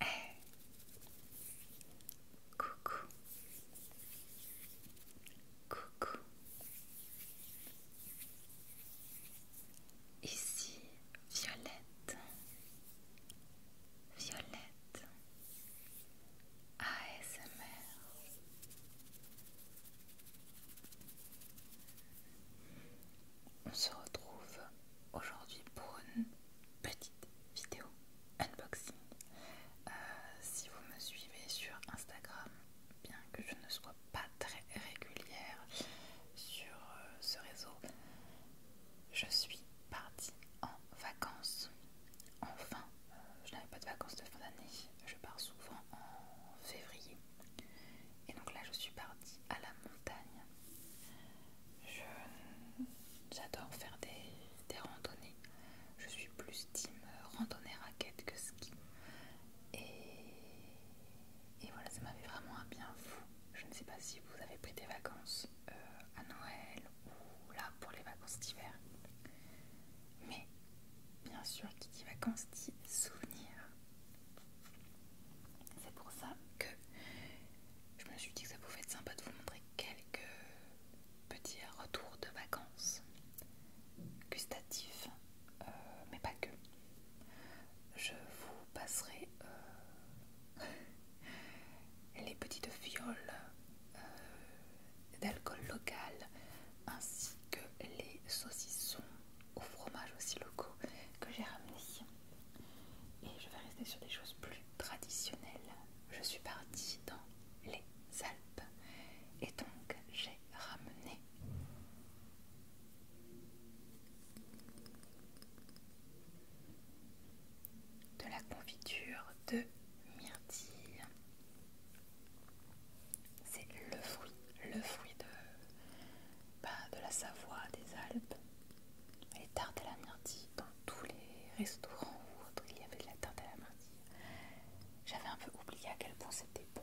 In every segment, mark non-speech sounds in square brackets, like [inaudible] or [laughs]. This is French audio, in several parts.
Hey. Coucou. Coucou. Ici, Violette. Violette. ASMR on se retrouve aujourd'hui pour une petite vidéo unboxing. Euh, si vous me suivez sur Instagram, bien que je ne sois pas très régulière sur euh, ce réseau, je suis partie en vacances. Enfin, je n'avais pas de vacances de fin d'année, je pars souvent en février. Et donc là, je suis partie à la montagne J'adore faire des, randonnées. Je suis plus team randonnée raquette que ski. Et, et voilà, ça m'a fait vraiment un bien fou. Je ne sais pas si vous avez pris des vacances euh, à Noël ou là pour les vacances d'hiver. Mais bien sûr, qui dit vacances dit souvenirs. C'est pour ça que je me suis dit que ça pouvait être sympa de vous montrer quelques petits retours de vacances gustatifs, euh, mais pas que. Je vous passerai euh, [laughs] les petites fioles euh, d'alcool local ainsi que les saucissons au fromage aussi locaux que j'ai ramenés et je vais rester sur des choses plus traditionnelles. Je suis partie dans les Alpes et donc j'ai ramené de la confiture de myrtille. C'est le fruit, le fruit de de la Savoie, des Alpes. Les tartes à la Mardi, dans tous les restaurants où il y avait de la tarte à la Mardi, J'avais un peu oublié à quel point c'était bon.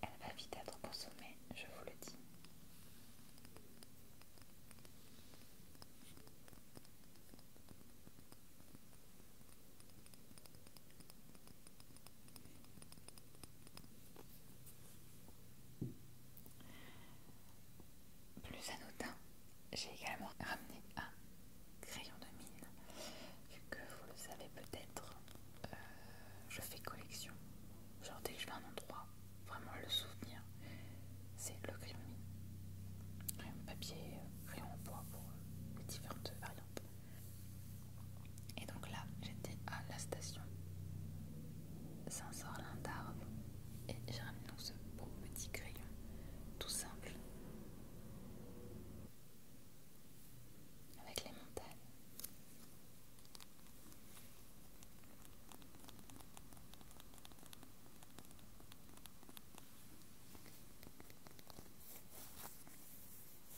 Elle va vite être consommée, je vous le dis. Plus anodin, j'ai également ramené un crayon de mine, vu que vous le savez peut-être, euh, je fais collection. Genre dès que je vais un endroit, vraiment le souvenir, c'est le crayon de mine. Crayon papier, euh, crayon en bois pour euh, les différentes variantes. Et donc là, j'étais à la station sort l'un darves et j'ai ramené donc ce beau petit crayon tout simple avec les montagnes.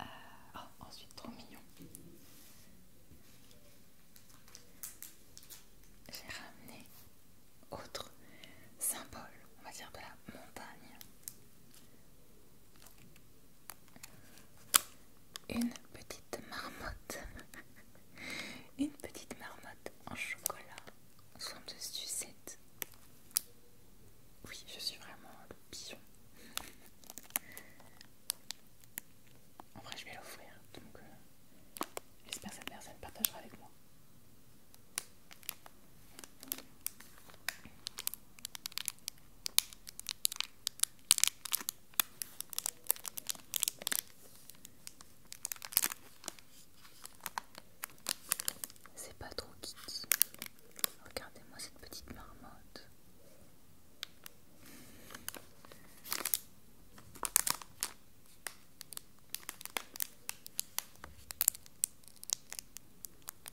Euh, oh, ensuite, trop mignon. J'ai ramené autre symbole, on va dire, de la montagne. Une petite marmotte. [laughs] Une petite marmotte en chocolat. de sucette. Oui, je suis vraiment le pion. En vrai, je vais l'offrir. Donc, euh, j'espère que cette personne partagera avec moi. C'est pas trop kitty. Regardez-moi cette petite marmotte.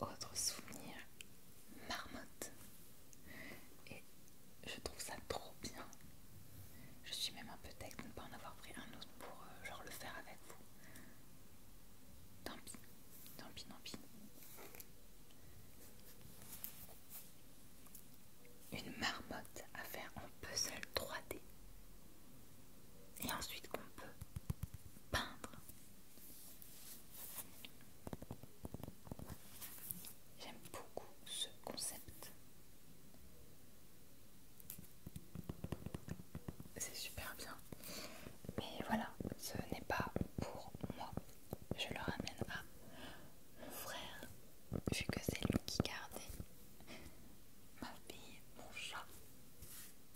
Autre souvenir, marmotte. Et je trouve ça trop bien. Je suis même un peu tech de ne pas en avoir pris un autre pour euh, genre le faire avec vous. Tant pis. Tant pis, pis. Une marmotte à faire en puzzle 3D. Et ensuite qu'on peut peindre. J'aime beaucoup ce concept. C'est super bien mais voilà, ce n'est pas pour moi. Je le ramène à mon frère, vu que c'est lui qui gardait ma fille, mon chat,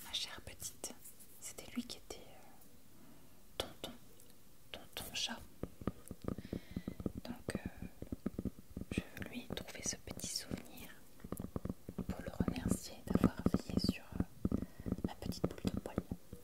ma chère petite. C'était lui qui était euh, tonton, tonton chat. Donc euh, je lui lui trouver ce petit souvenir pour le remercier d'avoir veillé sur ma euh, petite boule de poil.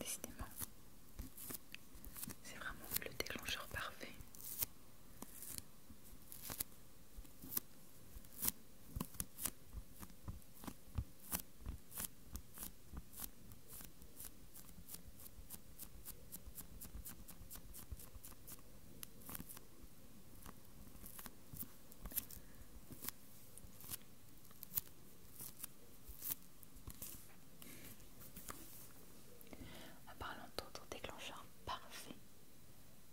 Décidément, c'est vraiment le déclencheur parfait. En parlant d'autres déclencheurs parfait,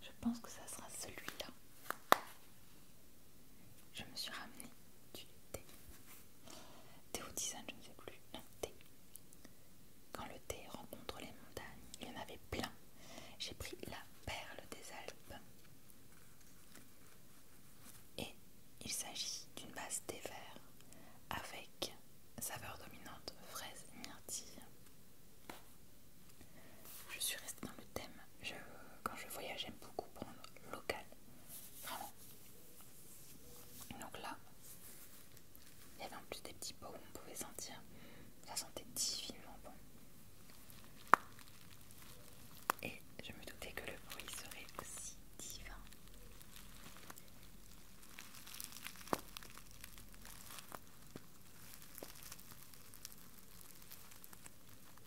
je pense que ça sera celui-là je me suis ramenée du thé. Thé au je ne sais plus. Non, thé. Quand le thé rencontre les montagnes, il y en avait plein. J'ai pris la perle des Alpes. Et il s'agit d'une base thé vert avec saveur dominante fraise myrtille. Je suis restée dans le thème quand je voyage, j'aime beaucoup prendre local. Vraiment. Donc là, il y avait en plus des petits pots où on pouvait sentir. Ça sentait divinement bon. Et je me doutais que le bruit serait aussi divin.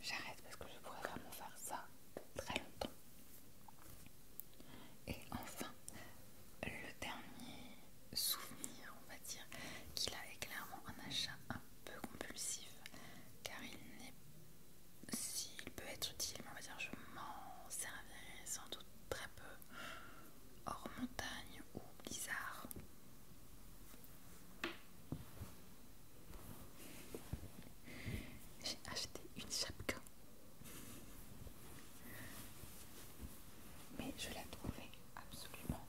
J'arrête parce que je pourrais vraiment faire ça très longtemps. Et enfin, le dernier souvenir, on va dire, qu'il a est clairement un achat un peu compulsif, car il n'est s'il peut être utile, mais on va dire je m'en servirai sans doute très peu hors montagne ou blizzard. J'ai acheté une chapka. Mais je la trouvais absolument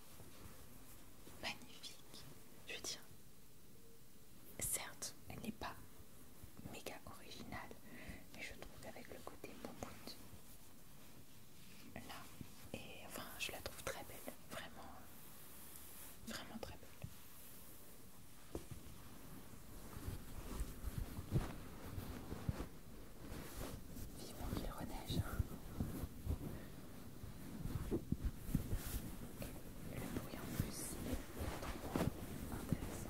magnifique. Je veux dire, certes, elle n'est pas méga originale, mais je trouve qu'avec le côté bout là, et enfin, je la trouve très belle, vraiment. Vraiment très belle. Vivement qu'il reneige. Hein. le bruit en plus est trop intéressant.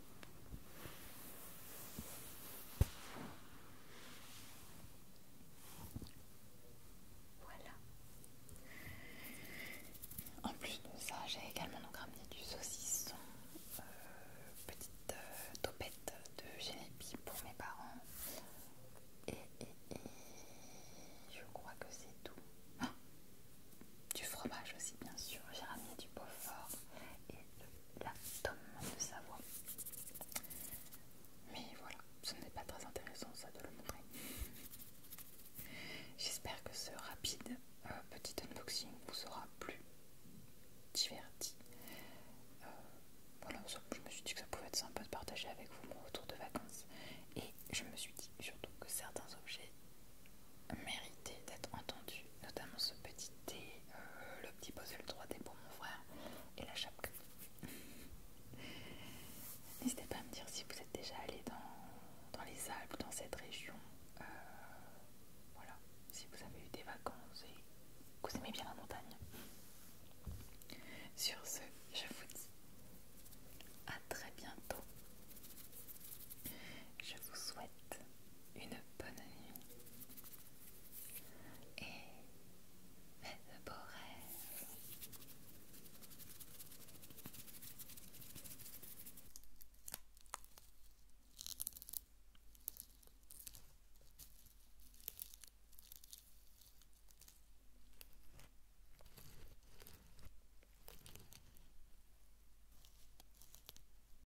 Voilà. En plus de ça, j'ai également donc ramené du saucisson, euh, petite euh, topette de génépi pour mes parents. Et, je crois que c'est tout. Ah, du fromage aussi, bien sûr. J'ai ramené du Beaufort et le la tome de sa voix. Mais voilà, ce n'est pas très intéressant ça de le montrer. J'espère que ce rapide euh, petit unboxing vous sera plus diverti. Euh, voilà, je me suis dit que ça pouvait être sympa de partager avec vous mon retour de vacances. Et je me suis dit surtout que certains objets méritait d'être entendu, notamment ce petit thé, euh, le petit puzzle 3D pour mon frère et la chape. [laughs] N'hésitez pas à me dire si vous êtes déjà allé dans, les Alpes, dans cette région. Euh, voilà, si vous avez eu des vacances et que vous aimez bien la montagne. Sur ce, je vous dis à très bientôt. Je vous souhaite une bonne nuit et fais de beaux rêves.